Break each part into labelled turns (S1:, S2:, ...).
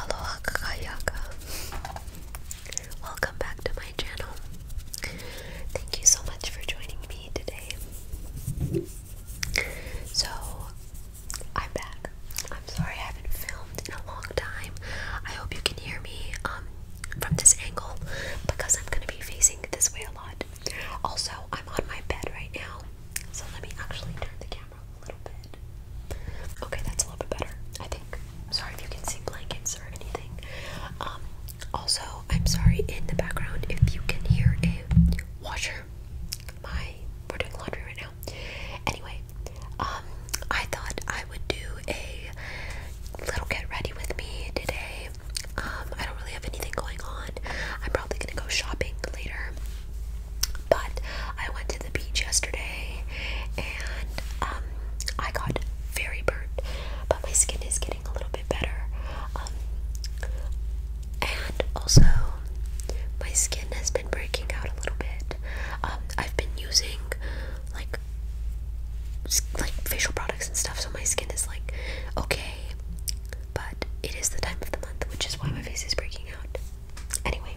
S1: Aloha Kakayaka. Welcome back to my channel. Thank you so much for joining me today. So, I'm back. I'm sorry I haven't filmed in a long time. I hope you can hear me um, from this angle because I'm going to be facing this way a lot. Also, I'm on my bed right now. So let me actually turn the camera a little bit. Okay, that's a little bit better, I think. Sorry if you can see blankets or anything. Um, also, I'm sorry in the background if you can hear a washer. My we're doing laundry right now. Anyway, um, I thought I would do a little get ready with me today. Um, I don't really have anything going on. I'm probably gonna go shopping later. But I went to the beach yesterday and um, I got very burnt, but my skin is getting a little bit better. Um, and also, my skin has been breaking out a little bit. Um, I've been using like like facial products and stuff, so my skin is like okay but it is the time of the month, which is why my face is breaking out. Anyway,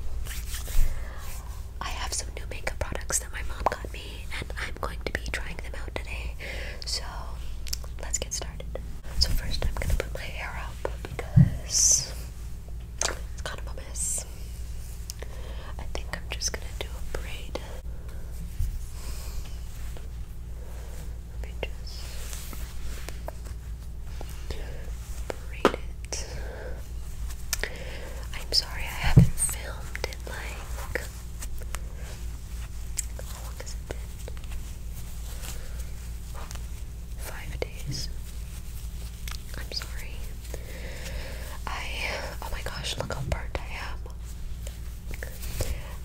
S1: I have some new makeup products that my mom got me, and I'm going to be trying them out today. So let's get started. So first, I'm gonna put my hair up because it's kind of a mess. I think I'm just gonna do a braid. Let me just braid it. I'm sorry I haven't filmed it like how long has it been? Five days. I'm sorry. I oh my gosh, look how burnt I am.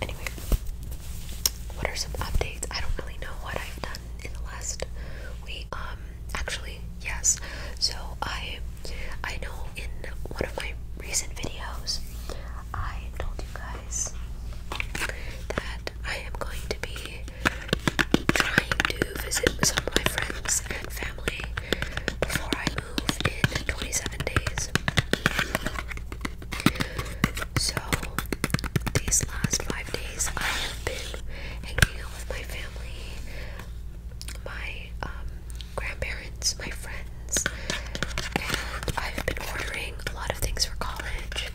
S1: Anyway, what are some updates? I don't really know what I've done in the last week. Um, actually, yes. So I, I know in one of my recent videos, I told you guys that I am going to be trying to visit some of my friends and family before I move in 27 days. So, these last five days, I have been hanging out with my family, my um, grandparents, my friends, and I've been ordering a lot of things for college.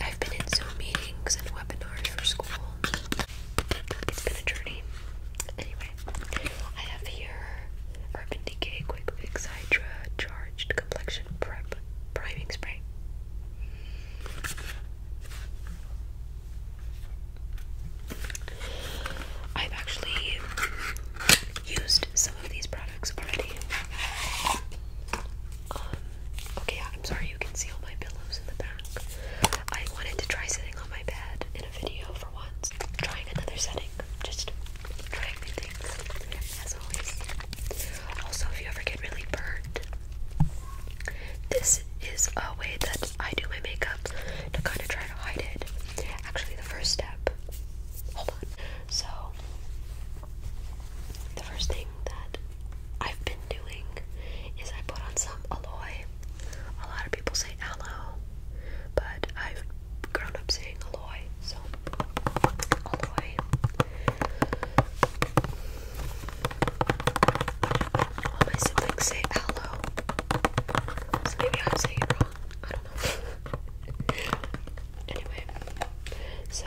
S1: I've been in Zoom meetings and webinars for school. It's been a journey. Anyway, I have here Urban Decay Quick Fix Hydra Charged Complexion Prep Priming Spray. I've actually used some of these products already. Um, okay, I'm sorry you can see all my pillows in the back. I wanted to try sitting on my bed in a video for once. trying another setting, just trying new things, as always. Also, if you ever get really burnt, this is a way that I do my makeup to kind of try to hide it. Actually, the first step, hold on. So, the first thing that I've been doing is I put on some aloe. A lot of people say aloe, but I've grown up saying Aloy, so Aloy. my siblings say aloe, so maybe I'm saying it wrong. I don't know. anyway, so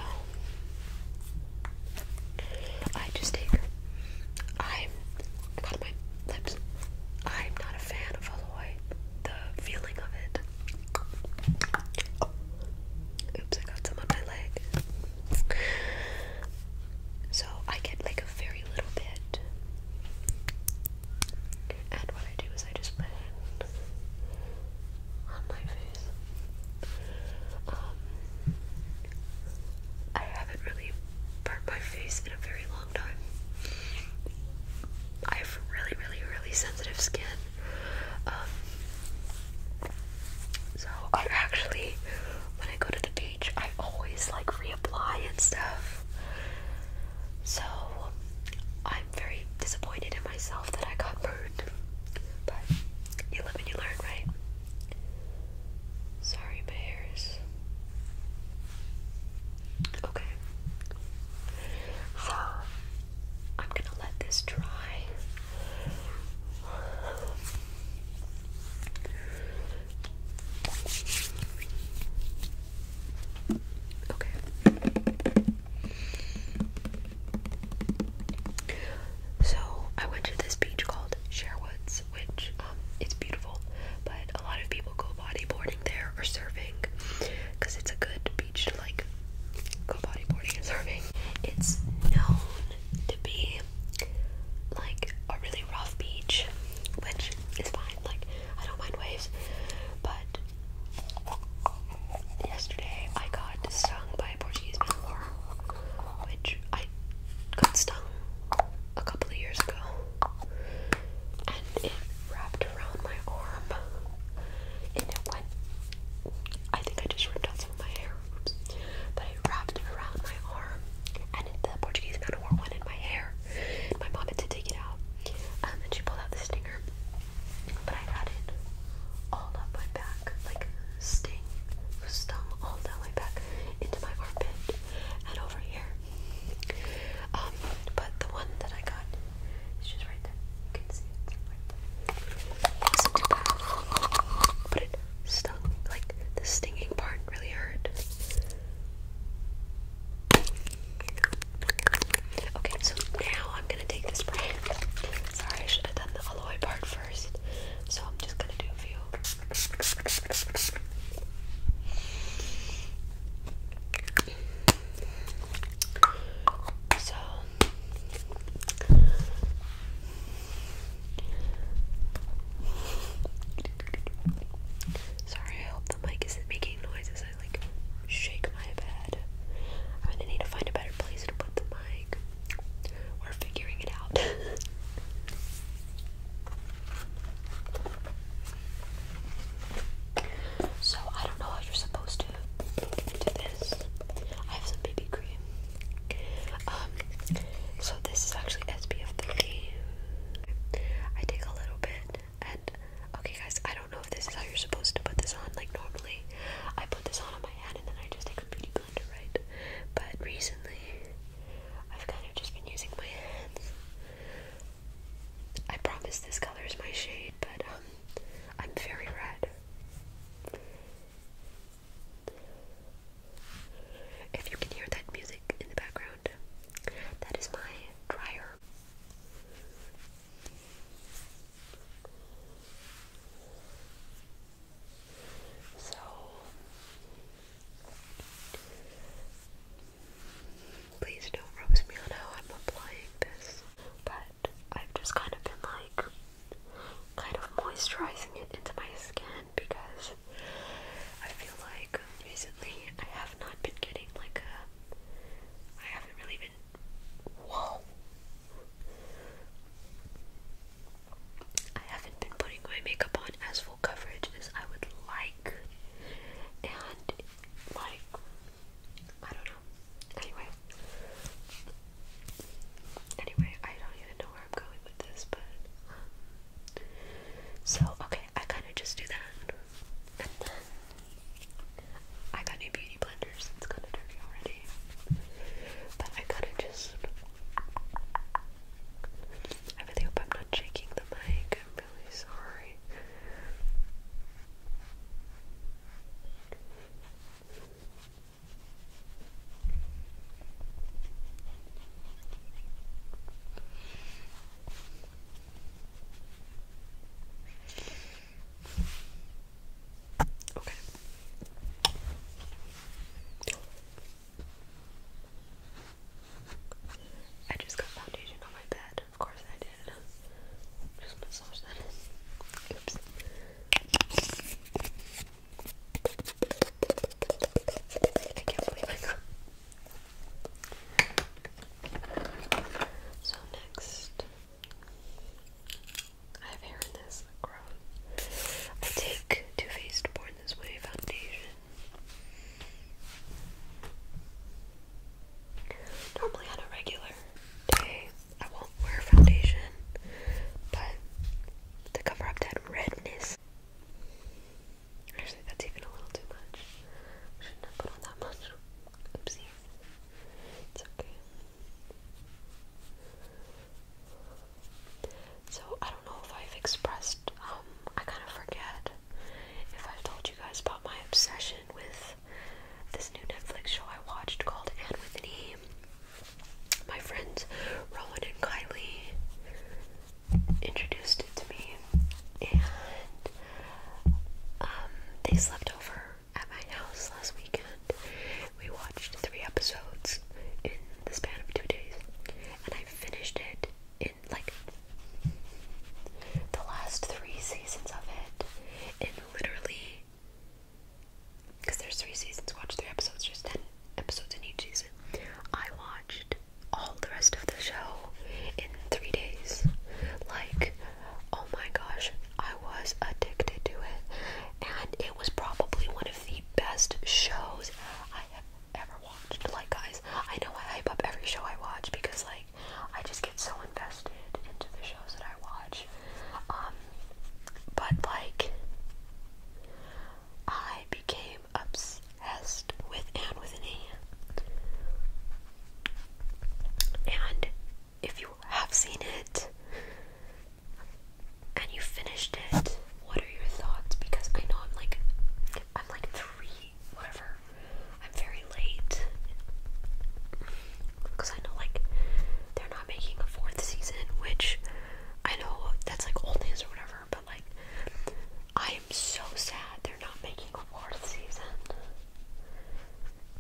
S1: I just take. I'm. my lips. I'm not a fan of Aloy the feeling of it. Oh. Oops, I got some on my leg. So I get like a very little bit. And what I do is I just put it on my face. Um, I haven't really burnt my face in a very long time. I have really, really, really sensitive skin. Um, so I actually, when I go to the beach, I always like reapply and stuff. So I'm very disappointed in myself that I got burned. But you live and you learn, right? Sorry, my hair Okay. So I'm gonna let this dry. Okay. So I went to this beach called Sherwoods, which um, it's beautiful, but a lot of people go bodyboarding there there for surfing because it's a good beach to like go bodyboarding and surfing. It's known to be like a really rough beach, which is fine. Like I don't mind waves, but yesterday I got stung by a Portuguese manor, which I got stung a couple of years ago, and it wrapped around my arm, and it went. I think I just ripped out some of my hair, But I wrapped it around my arm, and it, the Portuguese man o' war one in my hair. My mom had to take it out, um, and she pulled out the stinger. But I had it all up my back, like sting, stung all down my back into my armpit and over here. Um, but the one that I got it's just right there. You can see it right it stung. Like, the stinging part really hurt. Okay, so now I'm gonna take this brand. Sorry, I should have done the alloy part first. So I'm just gonna do a few sorry, I hope the mic isn't making noises. I like shake my bed. I'm gonna need to find a better place to put the mic. We're figuring it out. So I don't know how you're supposed to do this. I have some BB cream. Um, so this is actually SPF 30. I take a little bit, and okay, guys, I don't know if this is how you're supposed to put this on. Like normally, I put this on on my head, and then I just take a beauty blender, right? But recently, I've kind of just been using my hands. I promise this color is my shade, but um, I'm very red. If you can hear that music in the background, that is my dryer. So Please don't roast me on how I'm applying this. But I've just kind of been like kind of moisturizing it into my skin because I feel like recently I have not been getting like a I haven't really been whoa I haven't been putting my makeup on as full coverage as I would like and like I don't know Anyway. Anyway, I don't even know where I'm going with this, but so okay, I kind of just do that, I got new beauty blenders. It's kind of dirty already, but I kind of just. I really hope I'm not shaking the mic really sorry. Okay. I just got foundation on my bed. Of course I did. Just massage that in. Oops. I can't believe I got. So next, I have hair in this growth. I take Too Faced Born This Way foundation. Normally on a regular day, I won't wear foundation, but to cover up that redness. Actually, that's even a little too much. shouldn't have put on that much. Oopsie. It's okay. So, I don't know if I've expressed, um, I kind of forget if I've told you guys about my obsession with this new Netflix show I watched called Anne with an E. My friends Rowan and Kylie introduced it to me, and um, they slept over at my house last weekend. We watched three episodes in the span of two days, and I finished it in like the last three seasons of it in literally because there's three seasons, watch three episodes, just ten episodes in each season. I watched all the rest of the show in three days. Like, oh my gosh, I was addicted to it, and it was probably one of the best shows I have ever watched. Like, guys, I know I hype up every show I watch because, like, I just get so invested into the shows that I watch. Um, but like, I became obsessed with Anne with an E. And if you have seen it and you finished it, what are your thoughts? Because I know I'm like, I'm like three whatever. I'm very late because I know like they're not making a fourth season, which I know that's like old news or whatever. But like, I am so sad they're not making a fourth season.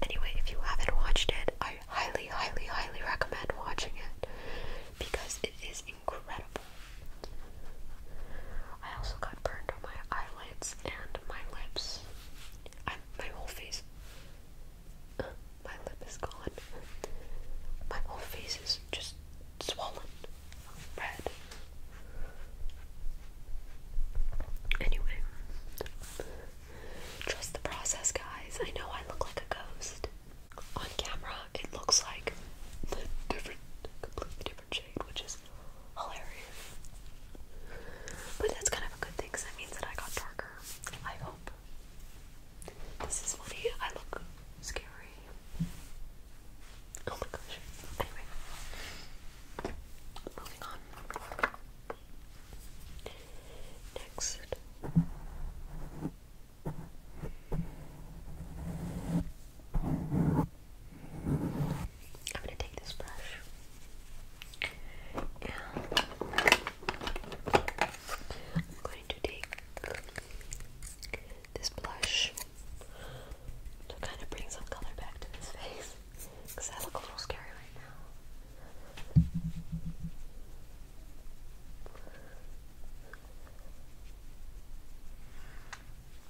S1: Anyway, if you haven't watched it, I highly, highly, highly recommend watching it because it is incredible. I also got burned on my eyelids and my lips my whole face. Uh, my lip is gone. My whole face is just swollen. Red. Anyway. Trust the process, guys. I know I look like a ghost. On camera, it looks like completely different which is hilarious. But that's kind of a good thing because that means that I got darker. I hope. This is funny. I look scary. Oh my gosh. Anyway. Moving on. Next. I'm going to take this brush I'm going to take this blush to kind of bring some color back to this face because I look a little scary right now.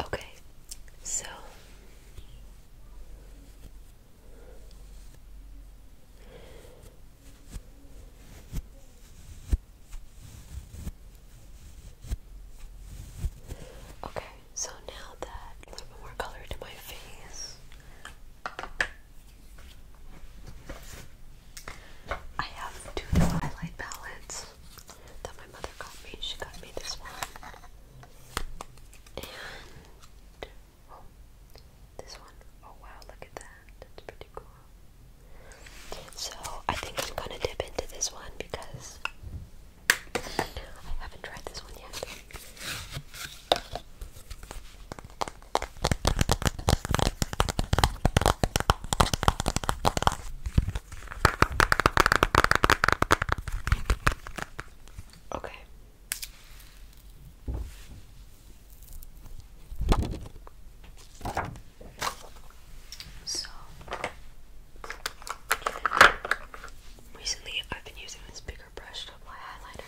S1: Okay, so Okay, so now that a little bit more color to my face. I have two new highlight palettes that my mother got me. She got me this one. And oh, this one. Oh wow, look at that. That's pretty cool. So I think I'm gonna dip into this one because I haven't tried this one yet. Okay. So recently I've been using this bigger brush to apply highlighter.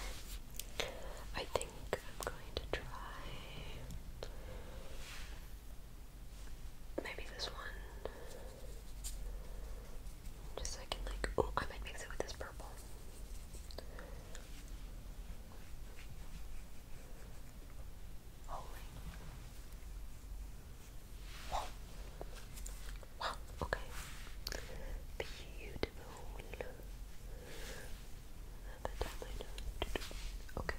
S1: I think I'm going to try maybe this one. Just so I can like oh I might mix it with this purple. Holy Wow. Wow, okay. Beautiful that down Okay.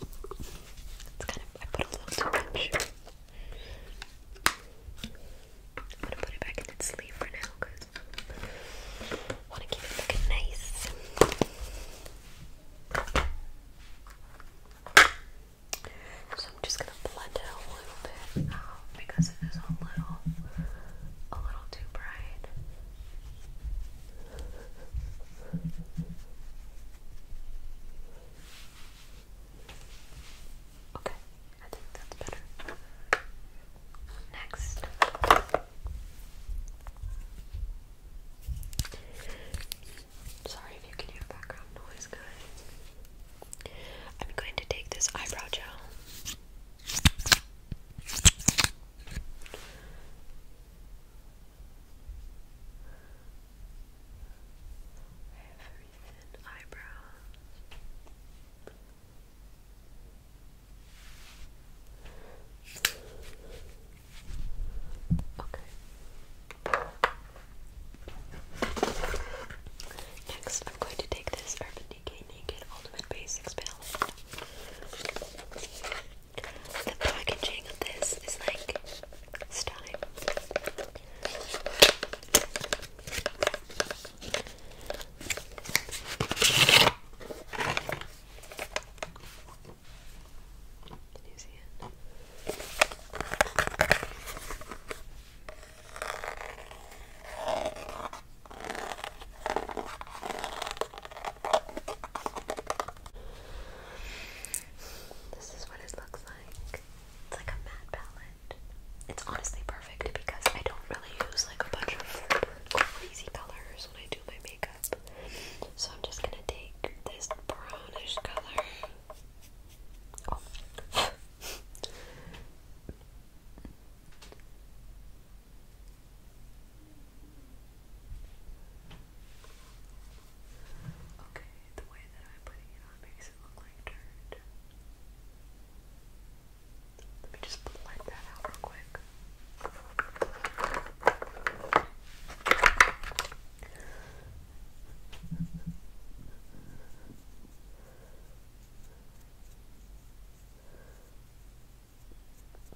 S1: It's kind of, I put a little too much. I'm gonna put it back in its sleeve for now because want to keep it looking nice. So I'm just gonna blend it a little bit out um, because it is a little, a little too bright. Okay, I think that's better. Next, sorry if you can hear background noise, guys. I'm going to take this eyebrow gel very eyebrows. Okay. Next, I'm going to take this Urban Decay Body Naked Ultimate Basics palette. The packaging of this is like stunning. Can you see it? This is what it looks like. It's like a matte palette. It's honestly perfect because I don't really use like a bunch of crazy colors when I do my makeup. So I'm just gonna take this brownish color. Oh. Okay, the way that I'm putting it on makes it look like dirt. Let me just blend that out real quick.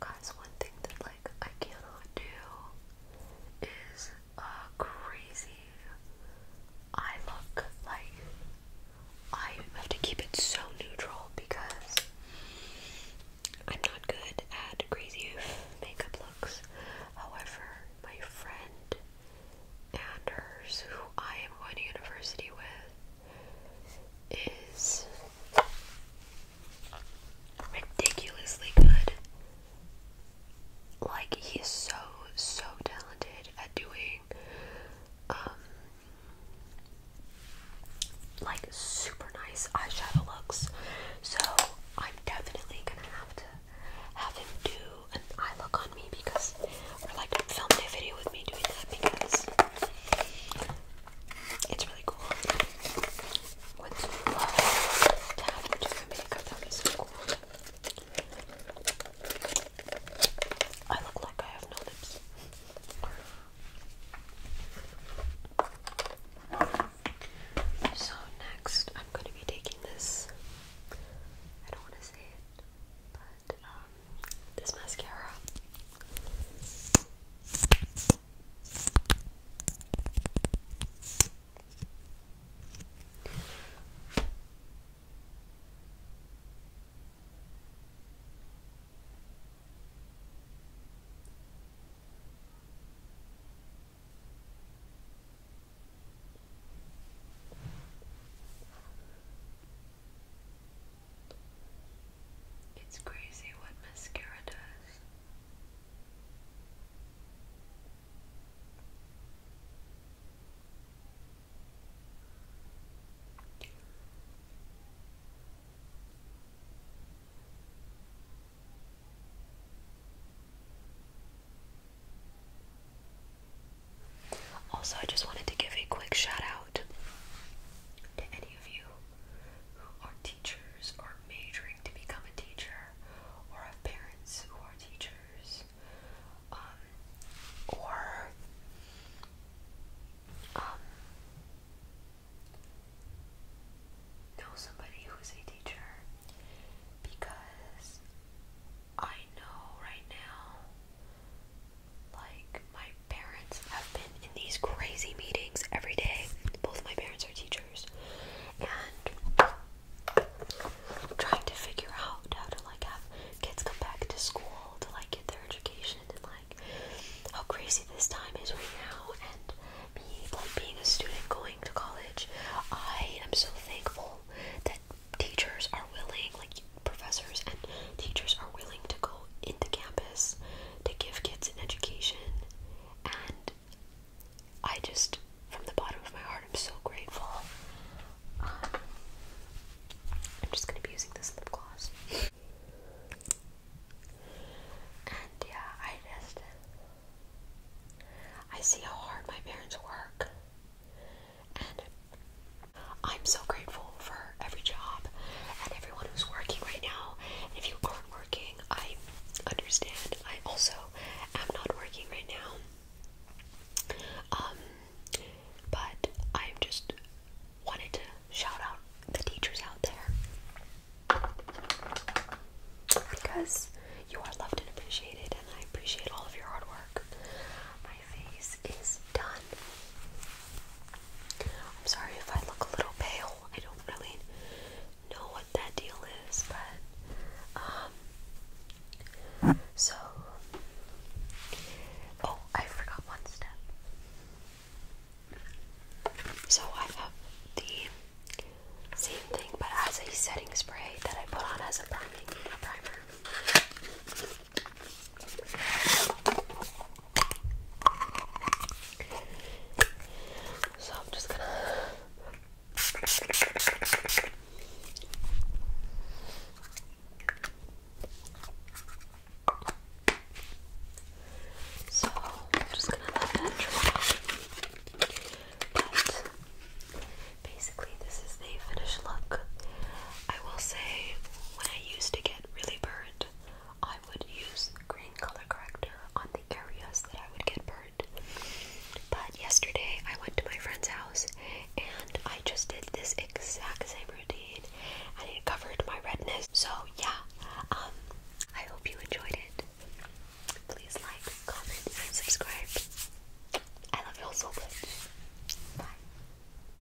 S1: Guys, one thing that like I cannot do is a crazy eye look. Like I have to keep it so neutral because I'm not good at crazy makeup looks. However, my friend and who I am going to university with, is ridiculously good. Like he's so so talented at doing um, like super nice eyeshadow looks. So I'm definitely gonna have to have him do an eye look on me because or like film a video with me doing that because it's really cool. What's you do your makeup? That is so cool. I look like I have no lips. So next, I'm going to be taking this. I don't want to say it, but um, this mascara. It's crazy what mascara does. Also, I just wanted to give a quick shout out out to any of you who are teachers or majoring to become a teacher or have parents who are teachers um, or um, know somebody who's a teacher because I know right now like my parents have been in these crazy meetings every day. Both my parents are teachers, and trying to figure out how to like have kids come back to school to like get their education and like how crazy this time is right now. And me like being a student going to college, I am so thankful that teachers are willing like professors and teachers are willing to go into campus to give kids an education. And I just, from the bottom of my heart, I'm so grateful. Um, I'm just going to be using this lip gloss. and yeah, I just. I see how hard my parents work. And I'm so grateful for every job and everyone who's working right now. if you aren't working, I understand. I also am not working right now. Um, but i just wanted to shout out the teachers out there because you are loved and appreciated, and I appreciate all of your hard work face is done. I'm sorry if I look a little pale. I don't really know what that deal is, but um so oh, I forgot one step. So I have the same thing but as a setting spray that I put on as a priming a primer. So I'm just gonna so I'm just gonna let that dry. But basically, this is the finished look. I will say, when I used to get really burnt, I would use green color corrector on the areas that I would get burnt. But yesterday I went to my friend's house and I just did this exact same routine and it covered my redness. So yeah, um, I hope you enjoyed it. Please like, comment, and subscribe. I love you all so much. Bye.